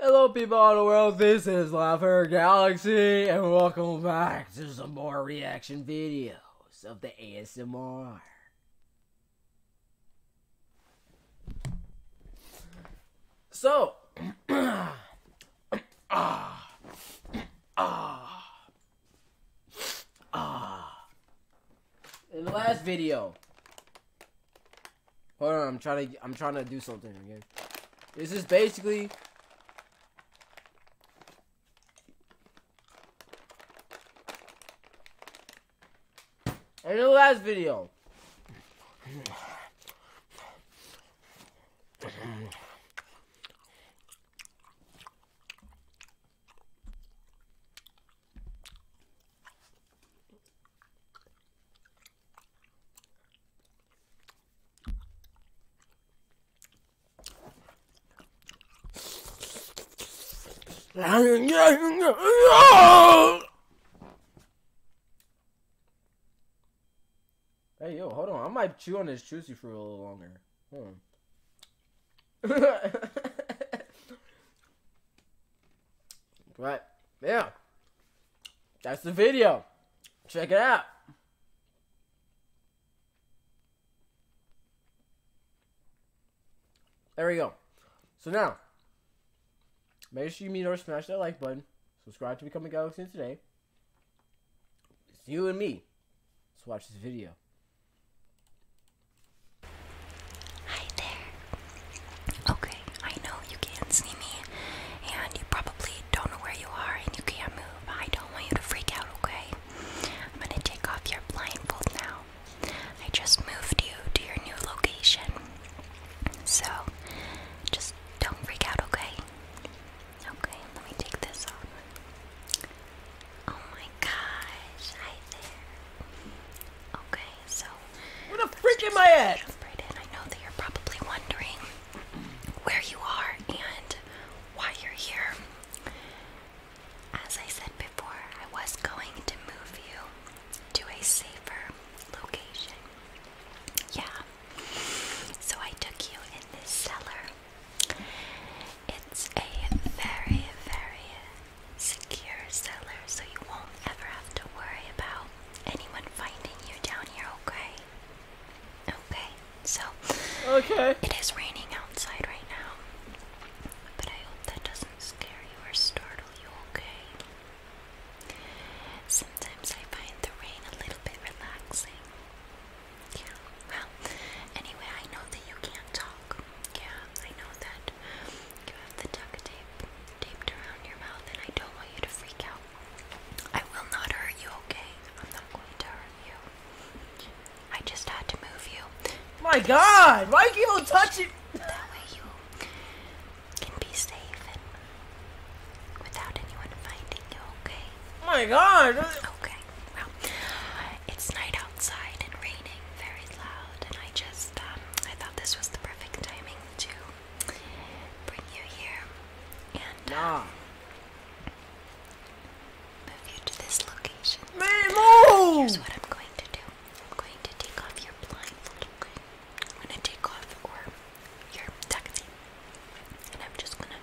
Hello people of the world, this is Laughter Galaxy, and welcome back to some more reaction videos of the ASMR. So, ah, ah, ah, in the last video, Hold on, I'm trying to I'm trying to do something again. This is basically In the last video. Hey, yo, hold on. I might chew on this juicy fruit a little longer. Hmm. But yeah, that's the video. Check it out. There we go. So now, make sure you meet or smash that like button. Subscribe to Become a Galaxy today. It's you and me. Let's watch this video. Hi there. Okay, I know you can't see me, and you probably don't know where you are, and you can't move. I don't want you to freak out, okay? I'm gonna take off your blindfold now. I just moved you to your new location. So, just don't freak out, okay? Okay, let me take this off. Oh my gosh, hi there. Okay, so where the freak am I at? Jump right in. I know that you're probably wondering where you are and why you're here. As I said before, I was going to move you to a safer location. Yeah. So I took you in this cellar. It's a very, very secure cellar so you won't ever have to worry about anyone finding you down here, okay? Okay, so okay. it is raining outside right now, but I hope that doesn't scare you or startle you, okay? Sometimes I find the rain a little bit relaxing. Yeah, well, anyway, I know that you can't talk. Yeah, I know that you have the duct tape taped around your mouth, and I don't want you to freak out. I will not hurt you, okay? I'm not going to hurt you. I just had to move you. My God! Why you keep touching? That way you can be safe and without anyone finding you, okay? My God! Okay, it's night outside and raining very loud, and I just um, I thought this was the perfect timing to bring you here and nah. Um, move you to this location. Here's what I'm going to do. I'm going to take off your blindfold. I'm gonna take off or your taxi, and I'm just gonna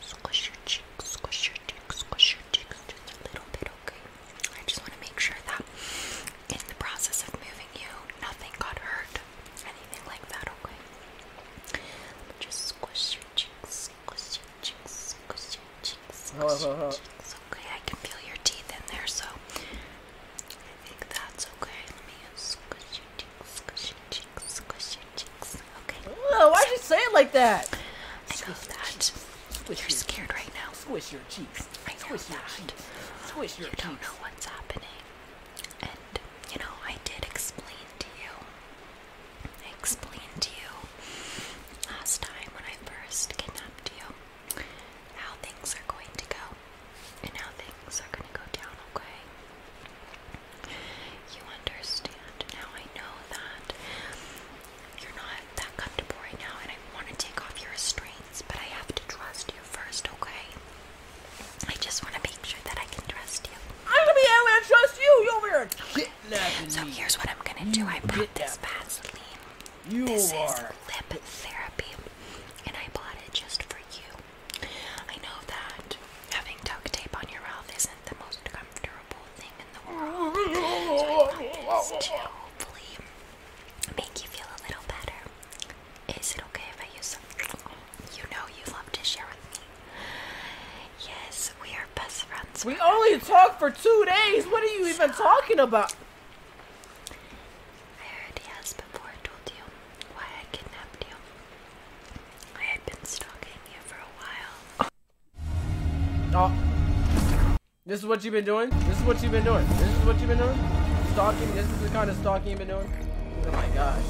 squish your cheek, squish your cheek, squish your cheek, just a little bit Okay. I just want to make sure that in the process of moving you, nothing got hurt, anything like that. Okay. Let just squish your cheeks, squish your cheeks, squish your cheeks, squish cheeks. Okay, I can feel your teeth in there, so I think that's okay. Let me squish your cheeks, squish cheeks, squish your cheeks. Okay. why did you say it like that? I know that. You're scared right now. So your cheeks. I know that. you don't know what's happening. And you know, I did explain to you. I explained to you last time when I first kidnapped you how things are going to go and how things are going to go down, okay? You understand. Now I know that you're not that comfortable right now, and I want to take off your restraints, but I have to trust you first, okay? I just want to make sure that I can trust you. I'm gonna be able to trust you. You over here. Okay. So here's what I'm gonna do. I brought this Vaseline. this is lip therapy, and I bought it just for you. I know that having duct tape on your mouth isn't the most comfortable thing in the world. I want this to hopefully make you feel a little better. Is it okay if I use some? You know you love to share with me. Yes, we are best friends. We only talked for two days. What are you even talking about? I already asked before I told you why I kidnapped you. I had been stalking you for a while. Oh. This is what you've been doing? This is what you've been doing? This is what you've been doing? Stalking? This is the kind of stalking you've been doing? Oh my gosh.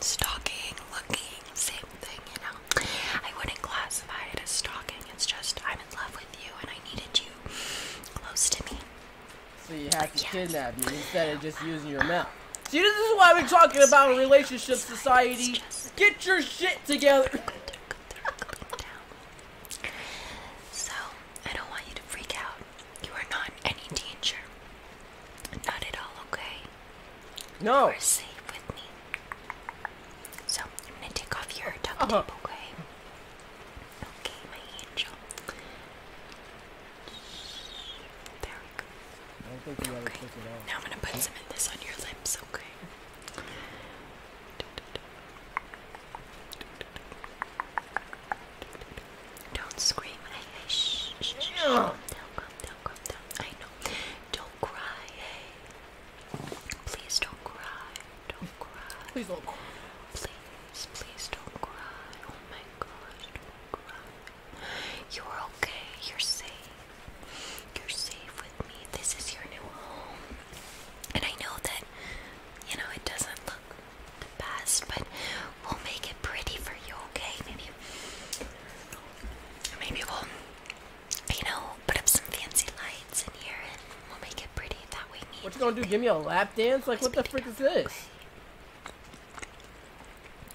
Stalking, looking, same thing, you know? I wouldn't classify it as stalking. It's just I'm in love with you and I needed you close to me. So you had to kidnap me instead of just using your mouth. See, this is why we're talking about relationship society, get your shit together. So I don't want you to freak out. You are not any danger. Not at all, okay? No. You are safe with me. So I'm gonna take off your duct uh-huh. tape, okay? Okay, my angel. There we go. okay. Now I'm gonna put some of this on your lips, don't scream. shh, shh, shh. come, they come, they I know. Don't cry, hey. Please don't cry. Don't cry. Please don't Please, please don't cry. Oh my gosh, don't cry. You're okay. You're safe. You're safe with me. This is your new home. And I know that, you know, it doesn't look the best, but we'll make it pretty for you, okay? Maybe, maybe we'll, you know, put up some fancy lights in here and we'll make it pretty. That way, me. What you gonna do? Give me a lap dance? Like, what the frick is this?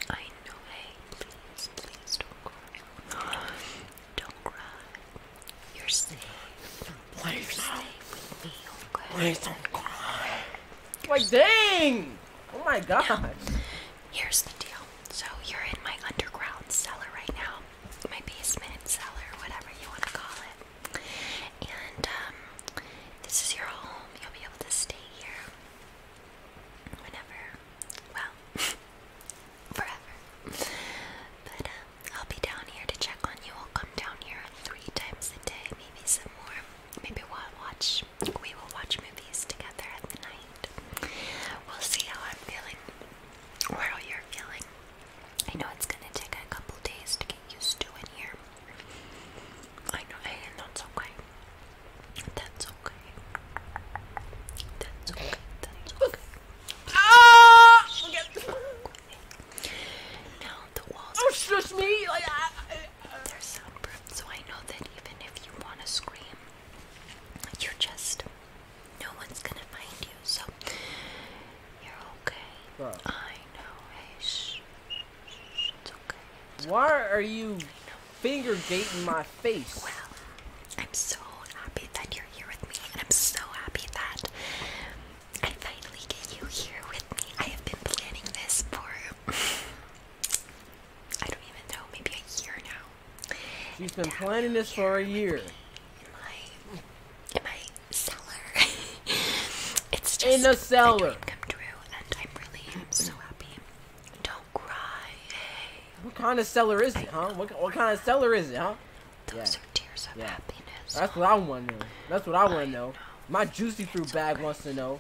I know, hey, please, please don't cry. Don't cry. You're safe. Please You're safe with me, Please don't cry. Like, dang! Oh my God. here's the deal. So, you're in my underground cellar right now. My basement cellar, whatever you want to call it. And, um, this is your home. You'll be able to stay here whenever well, forever. But um, I'll be down here to check on you. I'll come down here three times a day, maybe some more. Maybe we'll watch. We will watch movies together at the night. We'll see how I'm feeling or how you're feeling. I know it's gonna take a couple days to get used to in here. I know, and that's okay. That's okay. That's okay. That's okay. Ah! Now the walls. Oh, shush me! Like, I, I, I. Uh, They're soundproof, so I know that even if you want to scream, you're just. No one's gonna find you, so. You're okay. Right. I know. Hey, shh. It's why are you finger gating my face? Well, I'm so happy that you're here with me, and I'm so happy that I finally get you here with me. I have been planning this for I don't even know, maybe a year now. She's been planning this for a year. In my, in my cellar. it's just in the cellar. What kind of seller is it, huh? What, kind of seller is it, huh? Those are tears of happiness. That's what I want to know. That's what I want to know. My juicy it's fruit bag wants to know.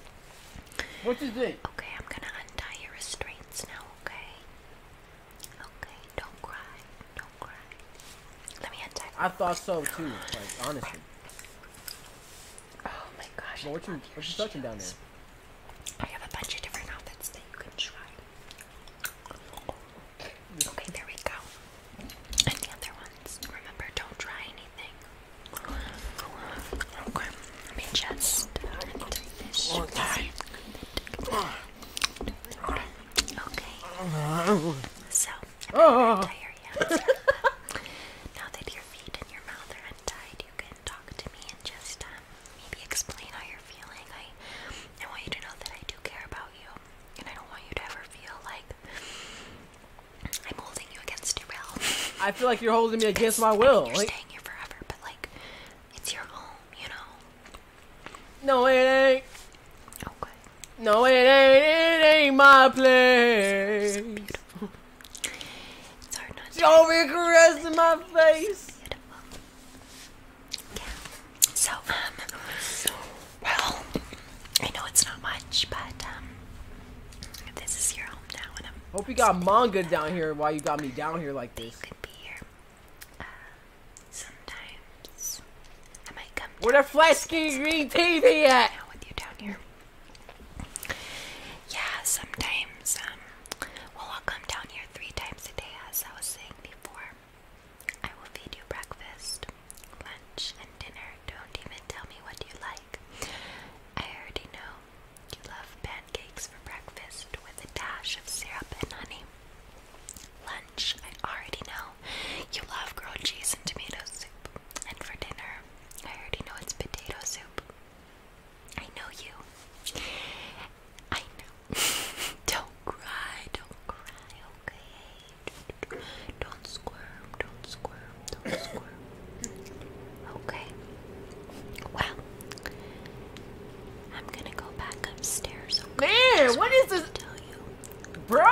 What is it? Okay, I'm gonna untie your restraints now. Okay. Okay. Don't cry. Don't cry. Let me untie. I thought so too. Like honestly. Oh my gosh! Well, what you what down there? I have a bunch of different outfits that you can try. Okay, there we go. And the other ones. Remember, don't try anything. Okay, let me just do uh, Okay. So, I'm not oh. Ah. untie your hands. now that your feet and your mouth are untied, you can talk to me and just um, maybe explain how you're feeling. I, I want you to know that I do care about you, and I don't want you to ever feel like I'm holding you against your will. I feel like you're holding me against my will. you're staying here forever, but like, it's your home, you know. No, it ain't. Okay. No, it ain't. It ain't my place. So, beautiful. It's hard not to. Don't be caressing my face. Beautiful. Yeah. So um, well, I know it's not much, but um, this is your home now, Hope you got manga down here. while you got me down here like this? could be here. Uh, sometimes I might come. Where the flash green TV at? With you down here. Yeah, sometimes, um, well, I'll come down here three times a day, as I was saying before. I will feed you breakfast, lunch, and dinner. Don't even tell me what you like. I already know you love pancakes for breakfast with a dash of syrup and honey. Lunch, I already know you love grilled cheese and tomato soup. And for dinner, I already know it's potato soup. I know you. I know. don't cry, don't cry, okay? Don't squirm, don't squirm, don't squirm. Okay. Well, I'm gonna go back upstairs. Man, what is this? Tell you, bro.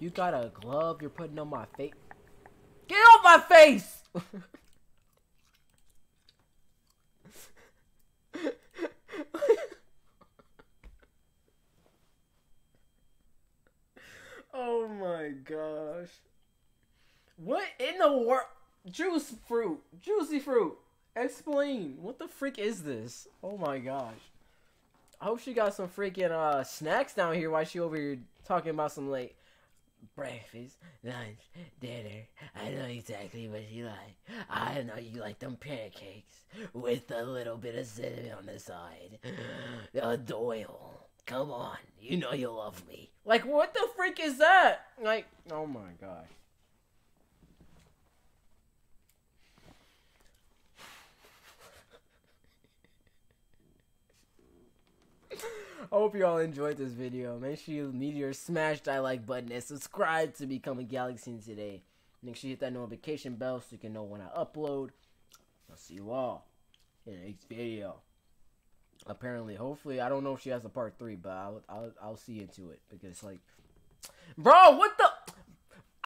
You got a glove you're putting on my face? Get off my face! oh my gosh. What in the world? Juice fruit. Juicy fruit. Explain. What the freak is this? Oh my gosh. I hope she got some freaking uh, snacks down here while she over here talking about some like breakfast, lunch, dinner. I know exactly what you like. I know you like them pancakes with a little bit of cinnamon on the side. Uh, Doyle, come on. You know you love me. Like, what the freak is that? Like, oh my gosh. I hope you all enjoyed this video. Make sure you your smash that like button and subscribe to become a Galaxy today. Make sure you hit that notification bell so you can know when I upload. I'll see you all in the next video. Apparently, hopefully, I don't know if she has a part three, but I'll I'll, I'll see into it because like, bro, what the.